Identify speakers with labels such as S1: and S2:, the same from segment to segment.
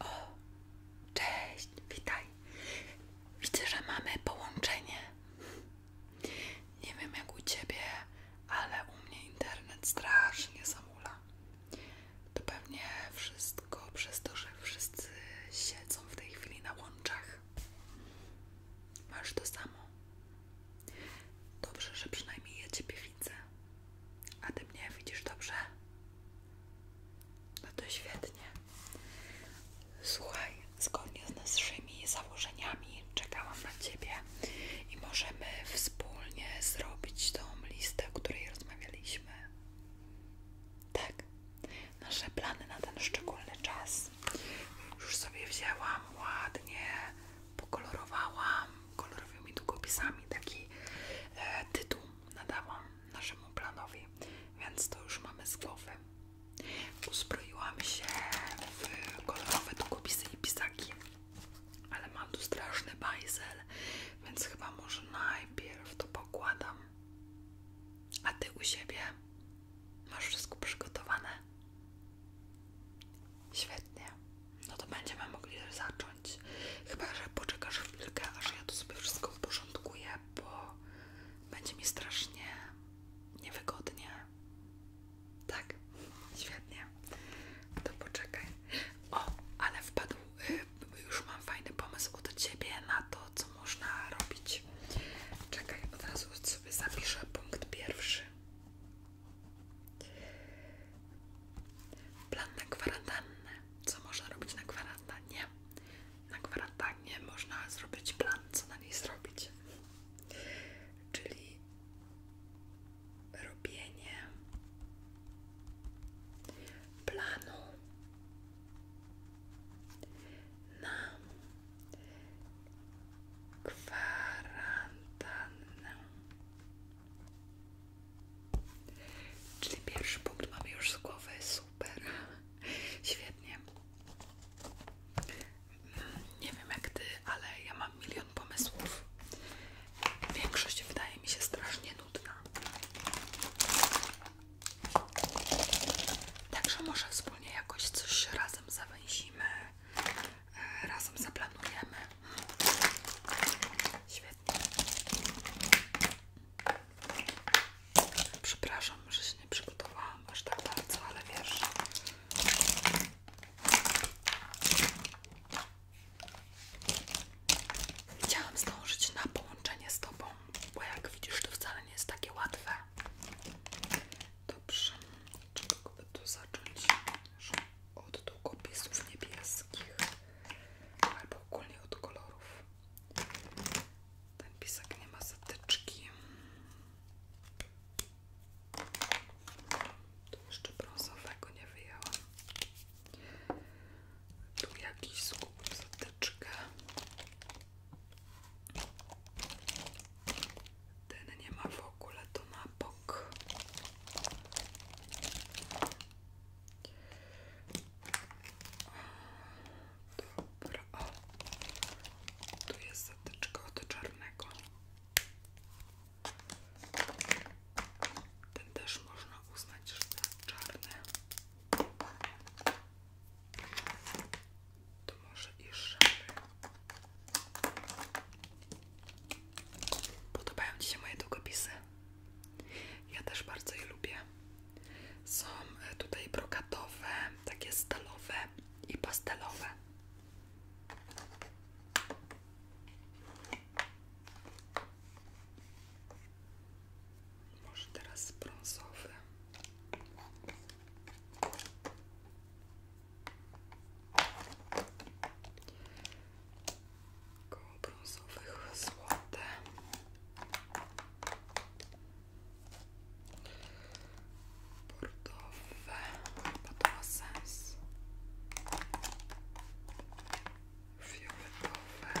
S1: O, cześć, witaj. Widzę, że mamy połączenie. Nie wiem jak u ciebie, ale u mnie internet strasznie zamula. To pewnie wszystko przez to, że wszyscy siedzą w tej chwili na łączach. Masz to samo. Dobrze, że przynajmniej ja ciebie a ty mnie widzisz dobrze? No to świetnie. Słuchaj, zgodnie z naszymi założeniami czekałam na ciebie i możemy wspólnie zrobić tą listę, o której rozmawialiśmy. Tak, nasze plany na ten szczególny czas już sobie wzięłam ładnie pokolorowałam kolorowymi długopisami taki e, tytuł nadałam naszemu planowi, więc to już mamy z głowy. Uzbroiłam się w kolorowe długopisy i pisaki, ale mam tu straszny bajzel, więc chyba może najpierw to pokładam. A ty u siebie masz wszystko przygotowane? Świetnie no to będziemy mogli zacząć. Chyba, że poczekasz chwilkę, aż ja to sobie wszystko uporządkuję, bo będzie mi strasznie niewygodnie. Tak, świetnie. To poczekaj. O, ale wpadł, y, już mam fajny pomysł od ciebie na to, co można robić. Czekaj, od razu sobie zapiszę punkt pierwszy. Plan na kwarantannę. Co można robić na kwarantannie? Na kwarantannie można zrobić plan, co na niej zrobić. Czyli robienie planu na kwarantannę. Czyli pierwszy punkt mam już z głowy, super, świetnie. Nie wiem jak ty, ale ja mam milion pomysłów. Większość wydaje mi się strasznie nudna. Także może wspólnie jakoś coś razem zawęzimy razem zaplanujemy. Świetnie. Przepraszam, że się nie przygotowałam aż tak bardzo, ale wiesz. Chciałam zdążyć na połączenie z Tobą, bo jak widzisz, to wcale nie jest takie łatwe. Dobrze, czego by tu zacząć? od długopisów niebieskich albo ogólnie od kolorów. Ten pisak nie ma zatyczki. Tu jeszcze brązowego nie wyjęłam. Tu jakiś skup zatyczkę. Ten nie ma w ogóle to na bok. Dobra, Tu jest zatyczka od czarnego. Ten też można uznać, że jest czarny. To może i szary. Podobają Ci się moje długopisy? Ja też bardzo je lubię. Są e, tutaj brokatowe, takie stalowe i pastelowe. Może teraz brązowe koło brązowych bordowe, bo fioletowe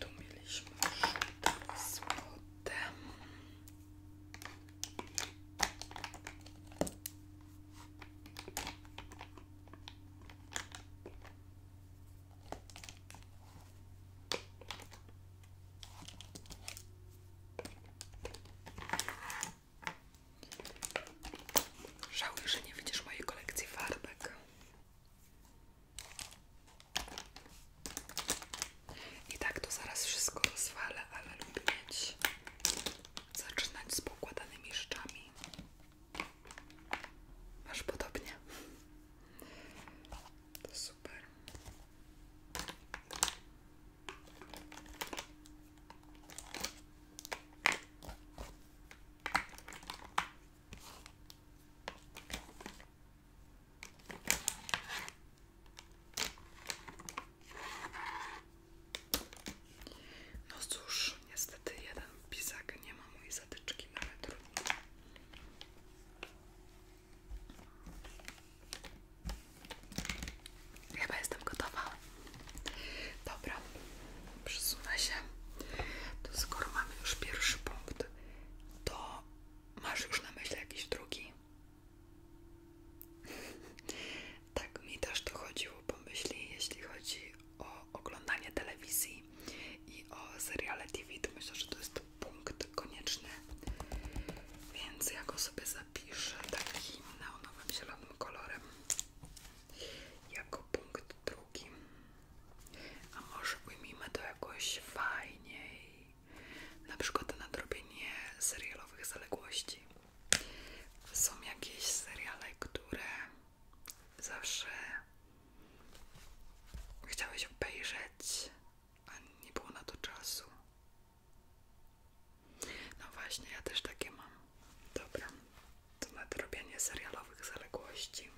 S1: Tu mieliśmy już złote. Żałuję, że nie widzisz mojej kolekcji farbek. I tak to zaraz wszystko rozwalę, ale lubię mieć zaczynać z pokładanymi rzeczami. Masz podobnie. To super. No cóż, niestety jeden pisak nie ma mojej zatyczki, nawet trudno. Chyba jestem gotowa. Dobra, przesunę się, to skoro mamy już pierwszy punkt, to masz już na myśli jakiś drugi? tak, mi też to chodziło po myśli, jeśli chodzi o oglądanie telewizji i o seriale TV, to myślę, że to jest punkt konieczny, więc ja go sobie zapiszę takim na nowym zielonym kolorem jako punkt drugi. A może ujmijmy to jakoś fajniej, na przykład na drobienie serialowych zaległości. Są jakieś seriale, które zawsze chciałeś obejrzeć, a nie było na to czasu. No właśnie, ja też takie mam. Dobra, to nadrobienie serialowych zaległości.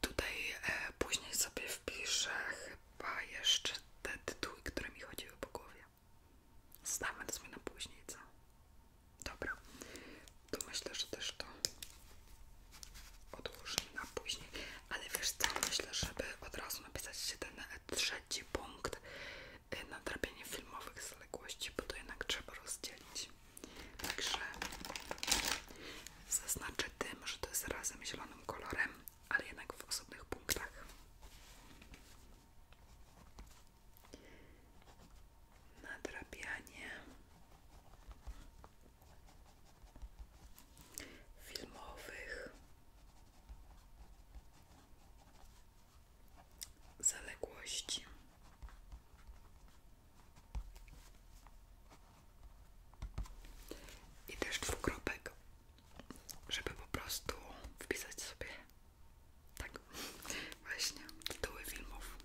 S1: Tutaj e, później sobie wpiszę chyba jeszcze te tytuły, które mi chodziły po głowie. Zostawmy to sobie na później, co? Dobra, to myślę, że też to odłożymy na później. Ale wiesz co, myślę, żeby od razu napisać się ten trzeci punkt y, na nadrabianie filmowych zaległości, bo to jednak trzeba rozdzielić. Także zaznaczę tym, że to jest razem zielonym kolorem ale jednak w osobnych punktach. Nadrabianie filmowych zaległości. I też dwukropek żeby po prostu wpisać sobie tak właśnie tytuły filmów.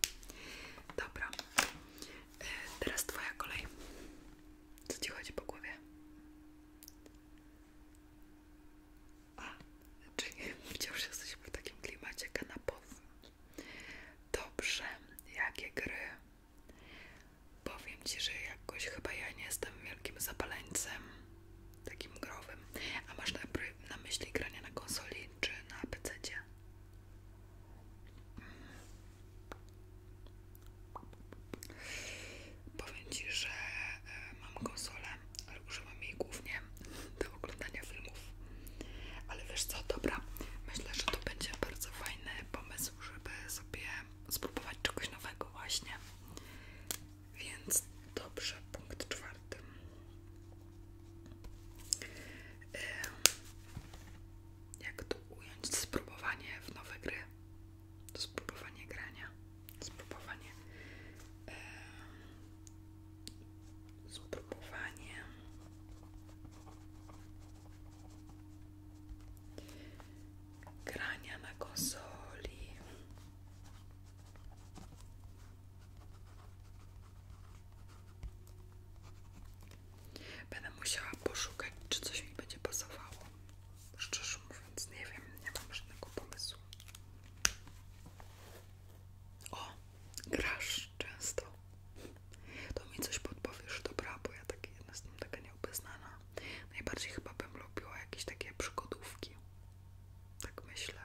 S1: Dobra, e, teraz twoja kolej. Co ci chodzi po głowie? A, czyli wciąż jesteśmy w takim klimacie kanapowym. Dobrze, jakie gry Powiem Ci, że jakoś chyba ja nie jestem wielkim zapaleńcem takim growym. A masz na, na myśli granie na konsoli czy na PC? -cie? Powiem Ci, że e, mam konsolę, ale używam jej głównie do oglądania filmów. Ale wiesz co, dobra, myślę, że to będzie bardzo fajny pomysł, żeby sobie spróbować czegoś nowego właśnie. Więc dobrze, punkt czwarty. Jak to ująć? Spróbowanie w nowe gry. Spróbowanie grania. Spróbowanie. Spróbowanie grania na konsoli. Będę musiała poszukać, czy coś mi będzie pasowało. Szczerze mówiąc, nie wiem, nie mam żadnego pomysłu. O, grasz często. To mi coś podpowiesz, dobra, bo ja tak jestem taka nieobeznana. Najbardziej chyba bym lubiła jakieś takie przygodówki. Tak myślę.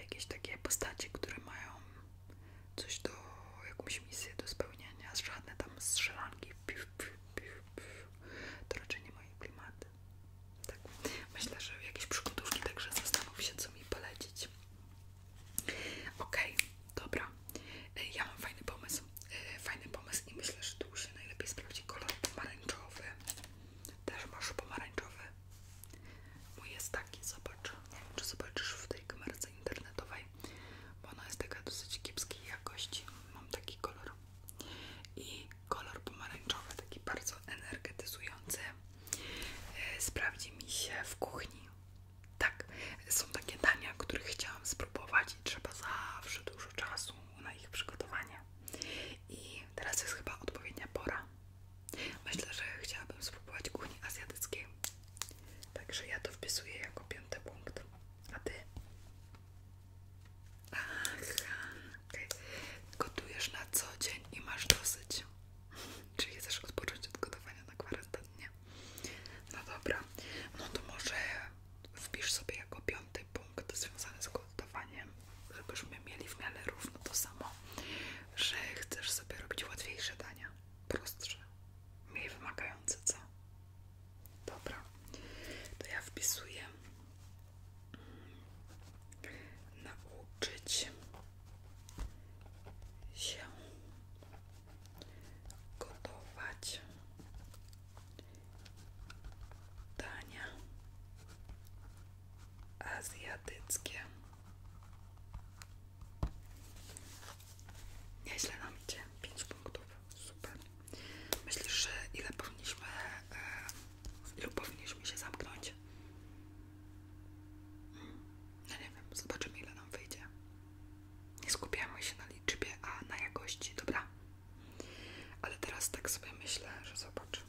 S1: Jakieś takie postacie, które mają coś do, jakąś misję do spełnienia. Żadne tam strzelanki. Piu, piu, piu, piu. To raczej nie moje klimaty. Tak. Myślę, że jakieś przygodówki, także zastanów się, co mi polecić. Okej. Dobra, e, ja mam fajny pomysł. E, fajny pomysł i myślę, że tu się najlepiej sprawdzi kolor pomarańczowy. Też masz pomarańczowy. Mój jest taki, zobacz. czy zobaczysz w tej kamerce internetowej, bo ona jest taka dosyć kiepskiej jakości. Mam taki kolor. I kolor pomarańczowy, taki bardzo energetyzujący, e, sprawdzi mi się w kuchni. Tak, są takie dania, których chciałam spróbować i trzeba zawsze dużo czasu na ich przygotowanie. I teraz jest chyba odpowiednia pora. Myślę, że chciałabym spróbować kuchni azjatyckiej. Także ja to wpisuję jako piąty punkt. A ty? Aha, okay. Gotujesz na co dzień i masz dosyć. Czyli chcesz odpocząć od gotowania na kwarantannie. No dobra, no to może wpisz sobie jako piąty punkt związany z gotowaniem, żebyśmy mieli w miarę równo to samo, że chcesz sobie robić łatwiejsze dania, prostsze, mniej wymagające, co? Dobra, to ja wpisuję mm, nauczyć się gotować dania azjatyckie. Nie Nieźle nam idzie, 5 punktów, super. Myślisz, ile powinniśmy, e, powinniśmy się zamknąć? No nie wiem, zobaczymy ile nam wyjdzie. Nie skupiamy się na liczbie, a na jakości, dobra? Ale teraz tak sobie myślę, że zobacz,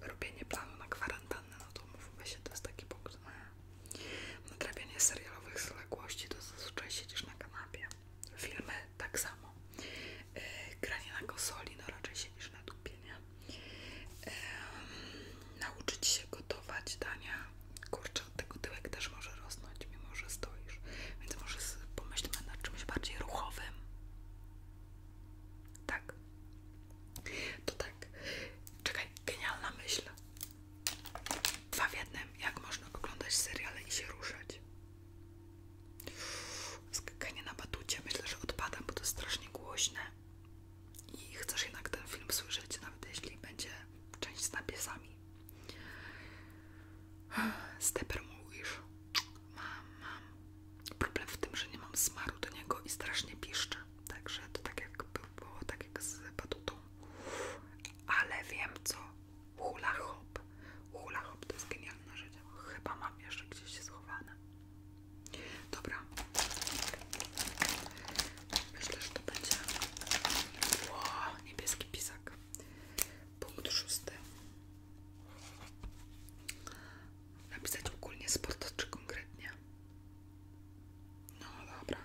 S1: robienie planu na kwarantannę, no to mówmy to jest taki punkt no. na nadrabianie serialowych zaległości, to zazwyczaj siedzisz na kanapie. Filmy tak samo. E, granie na konsoli, no raczej siedzisz na dupie, e, nauczyć się gotować dania kurczę, od tego tyłek też może rosnąć, mimo że stoisz. Więc może pomyślmy nad czymś bardziej ruchowym. Tak. To tak. Czekaj, genialna myśl. Dwa w jednym. Jak można oglądać seriale i się ruszać? Skakanie na batucie. Myślę, że odpadam, bo to jest strasznie głośne. I chcesz jednak ten film słyszeć, nawet jeśli będzie część z napisami. Steper mu już. Mam, mam. Problem w tym, że nie mam smaru do niego i strasznie piszczę. Także to tak jak było, tak jak z batutą. Ale wiem co. Hula hop. Hula hop to jest genialne rzecz. Chyba mam jeszcze gdzieś schowane. Dobra. Myślę, że to będzie wow, niebieski pisak. Punkt szósty. Napisać ogólnie sport czy konkretnie? No dobra,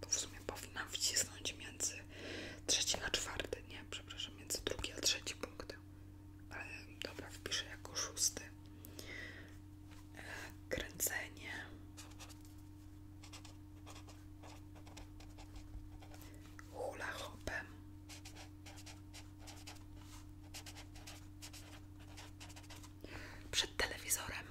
S1: to w sumie powinnam wcisnąć między trzeci a czwarty, nie, przepraszam, między drugi a trzeci punkt. Ale dobra, wpiszę jako szósty. E, kręcenie hula Przed telewizorem.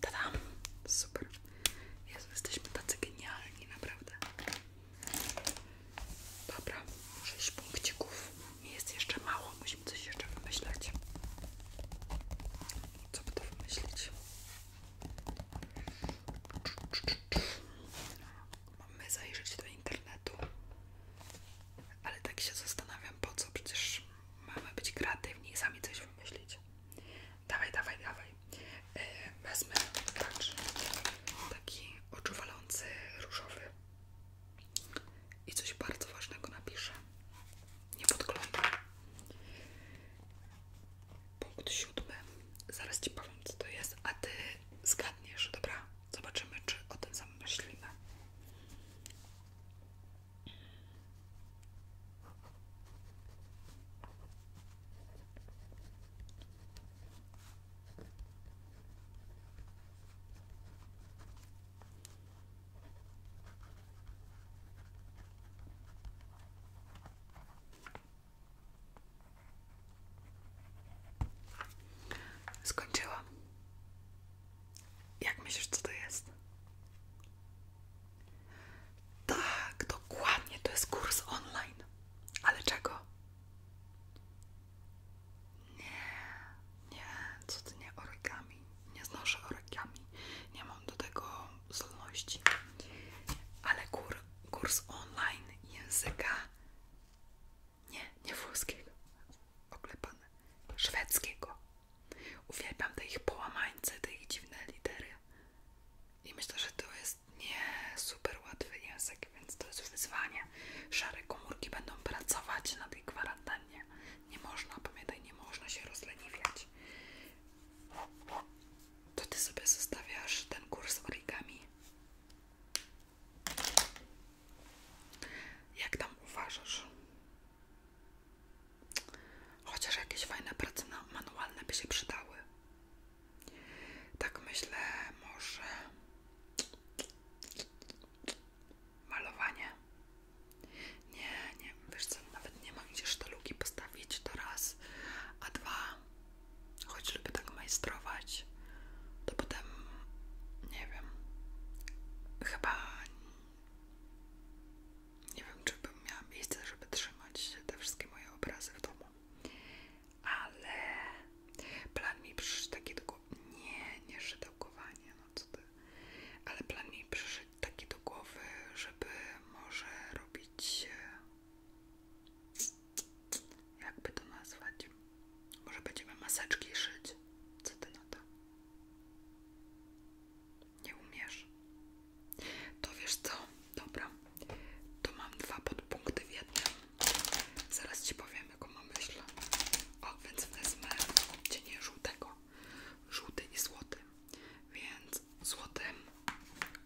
S1: Tadam! Super. Jezu, jesteśmy tacy genialni, naprawdę. Dobra, 6 punkcików. Jest jeszcze mało, musimy coś jeszcze wymyślać. Co by to wymyślić? Mamy zajrzeć do internetu. Ale tak się zastanawiam po co, przecież mamy być kreatywni i sami coś wymyślić. Dawaj, dawaj, dawaj. Yy, wezmę, patrz, taki oczuwalący różowy. I coś bardzo ważnego napiszę. Nie podglądam. Punkt siódmy. Zaraz Ci powiem, co to jest, a Ty zgadniesz, dobra? Zobaczymy, czy o tym samym myślimy. Skończyłam. Jak myślisz, co to jest? Tak, dokładnie, to jest kurs online. Ale czego? Nie, nie, co ty nie origami. Nie znoszę origami. Nie mam do tego zdolności. Ale kur, kurs online języka nie, nie włoskiego. Oklepane. Szwedzkiego. Uwielbiam te ich połamańce, te ich dziwne litery. I myślę, że to jest nie super łatwy język, więc to jest wyzwanie. Szare komórki będą pracować na tej kwarantannie. Nie można, pamiętaj, nie można się rozleniwiać. To ty sobie zostawiasz ten kurs z origami. Jak tam uważasz? Chociaż jakieś fajne prace manualne by się przydały. Tak myślę, może malowanie. Nie, nie, wiesz co, nawet nie mam gdzie sztalugi postawić, to raz, a dwa, choć lubię tak majstrować, to potem, nie wiem, chyba nie wiem, czy bym miała miejsce, żeby trzymać te wszystkie moje obrazy w domu. Ale plan mi przyszedł taki do głowy. Nie, nie szydełkowanie, no cóż, ty. Ale plan mi przyszedł taki do głowy, żeby może robić. E, jakby to nazwać? Może będziemy maseczki szyć? Co ty na to? Nie umiesz. To wiesz co? Dobra. To mam dwa podpunkty w jednym. Zaraz ci powiem, jaką mam myśl. O, więc wezmę odcienie żółtego. Żółty i złoty. Więc złotym.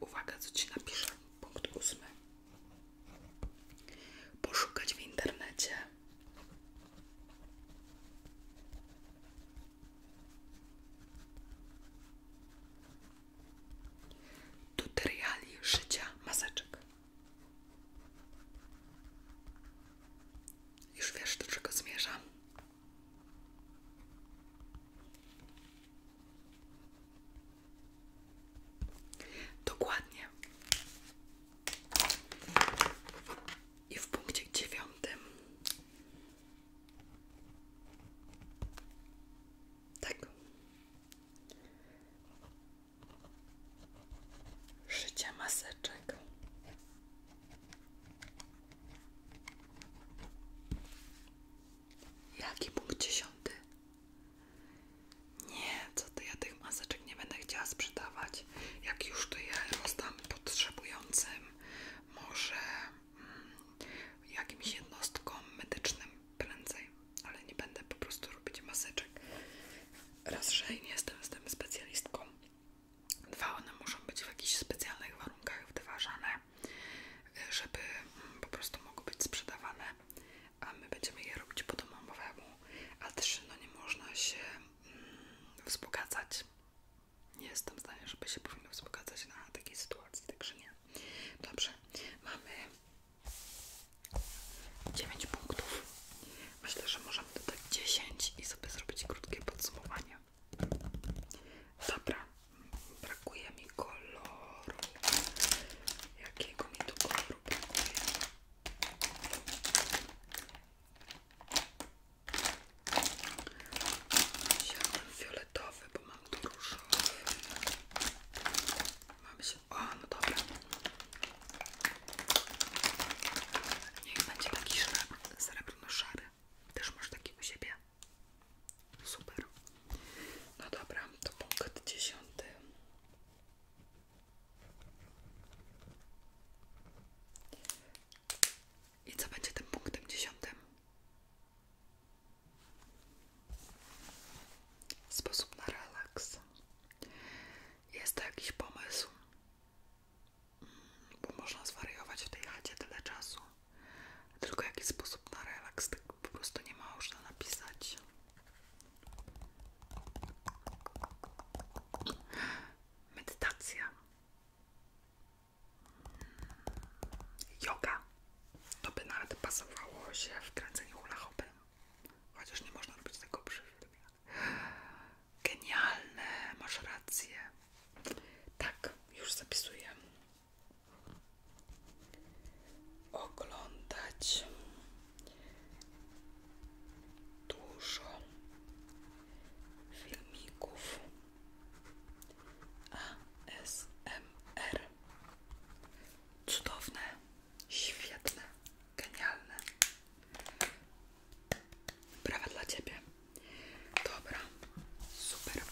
S1: Uwaga, co ci napiszę. Punkt ósmy. Poszukać w internecie. Tutoriali szycia maseczek. Już wiesz, do czego zmierzam. Dokładnie. I w punkcie dziewiątym tak. Szycie maseczek. Jaki punkt dziesiąty? Nie, co ty, ja tych maseczek nie będę chciała sprzedawać. Jak już to je rozdam potrzebującym, może jakimś jednostkom medycznym prędzej, ale nie będę po prostu robić maseczek. Raz, że nie jestem z tym specjalistką. Dwa, one muszą być w jakichś specjalnych warunkach wyważane, żeby mm, po prostu mogły być sprzedawane, a my będziemy je robić po domowemu. A trzy, no nie można się mm, wzbogacać nie jestem zdania, żeby się powinno wzbogacać na takiej sytuacji, także nie. Dobrze, mamy 9 punktów. Myślę, że możemy dodać 10 i sobie zrobić krótkie podsumowanie. Dobra, brakuje mi koloru. Jakiego mi tu koloru brakuje? Wziąłem fioletowy, bo mam tu różowy. Mam się... O, no dobra. Niech będzie taki srebrno-szary. Też masz taki u siebie. Super. No dobra, to punkt dziesiąty. I co będzie tym punktem dziesiątym? Sposób na relaks. Jest to jakiś pomysł, mm, bo można zwariować w tej chacie tyle czasu. Tylko jakiś sposób na relaks, tak po prostu nie ma można napisać. Medytacja. Yoga. To by nawet pasowało się w kręceniu hula hopy. Chociaż nie można robić tego przy filmie. Genialne, masz rację. Tak, już zapisuję. Oglądać dużo filmików ASMR. Cudowne, świetne, genialne. Brawa dla Ciebie. Dobra, super.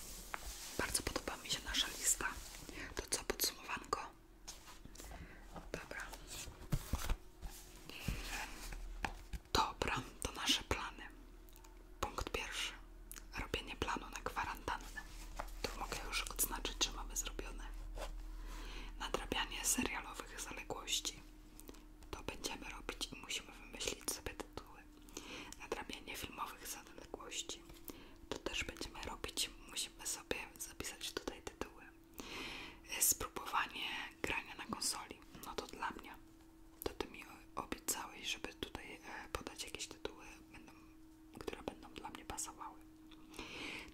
S1: Bardzo podoba mi się nasza lista. To co, podsumowanko? Dobra. Dobra, to nasze plany. Punkt pierwszy. Robienie planu na kwarantannę. Tu mogę już odznaczyć, że mamy zrobione. Nadrabianie serialowych zaległości. To będziemy robić i musimy wymyślić sobie tytuły. Nadrabianie filmowych zaległości. To też będziemy robić. Musimy sobie zapisać tutaj tytuły. Spróbowanie grania na konsoli. No to dla mnie to ty mi obiecałeś, żeby tutaj e, podać jakieś tytuły, które będą dla mnie pasowały.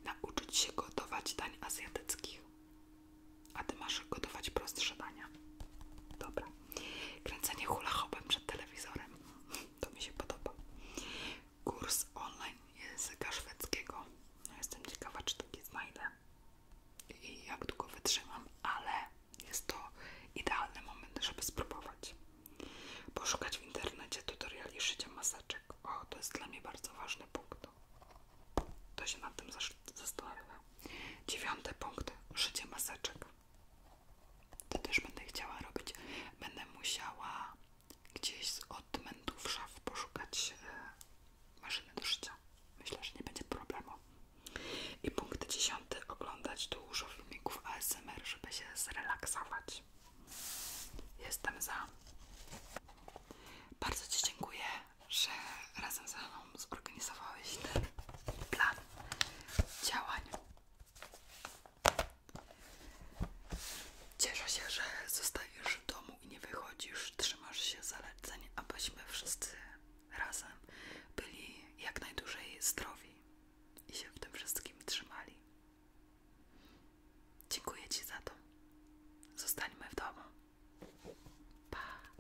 S1: Nauczyć się gotować dań azjatyckich. A ty masz gotować prostsze dania. Dobra. Kręcenie hula hoopem przed telewizorem. To mi się podoba. Kurs online języka szwedzkiego. No, jestem ciekawa, czy taki znajdę i jak długo wytrzymam, ale jest to idealny moment, żeby spróbować. Poszukać w internecie tutoriali szycia maseczek. O, to jest dla mnie bardzo ważny punkt. To się nad tym zastanawiam. Dziewiąty punkt. Szycie maseczek. To też będę chciała robić. Będę musiała gdzieś z odmętów szaf poszukać e, maszynę do szycia. Myślę, że nie będzie problemu. I punkt dziesiąty. Oglądać dużo filmików ASMR, żeby się zrelaksować. Jestem za. Bardzo Ci dziękuję, że razem ze mną zorganizowałeś ten plan działań. Cieszę się, że zostajesz w domu i nie wychodzisz, trzymasz się zaleceń, abyśmy wszyscy razem byli jak najdłużej zdrowi i się w tym wszystkim trzymali. Dziękuję Ci za to. Zostańmy w domu. Pa!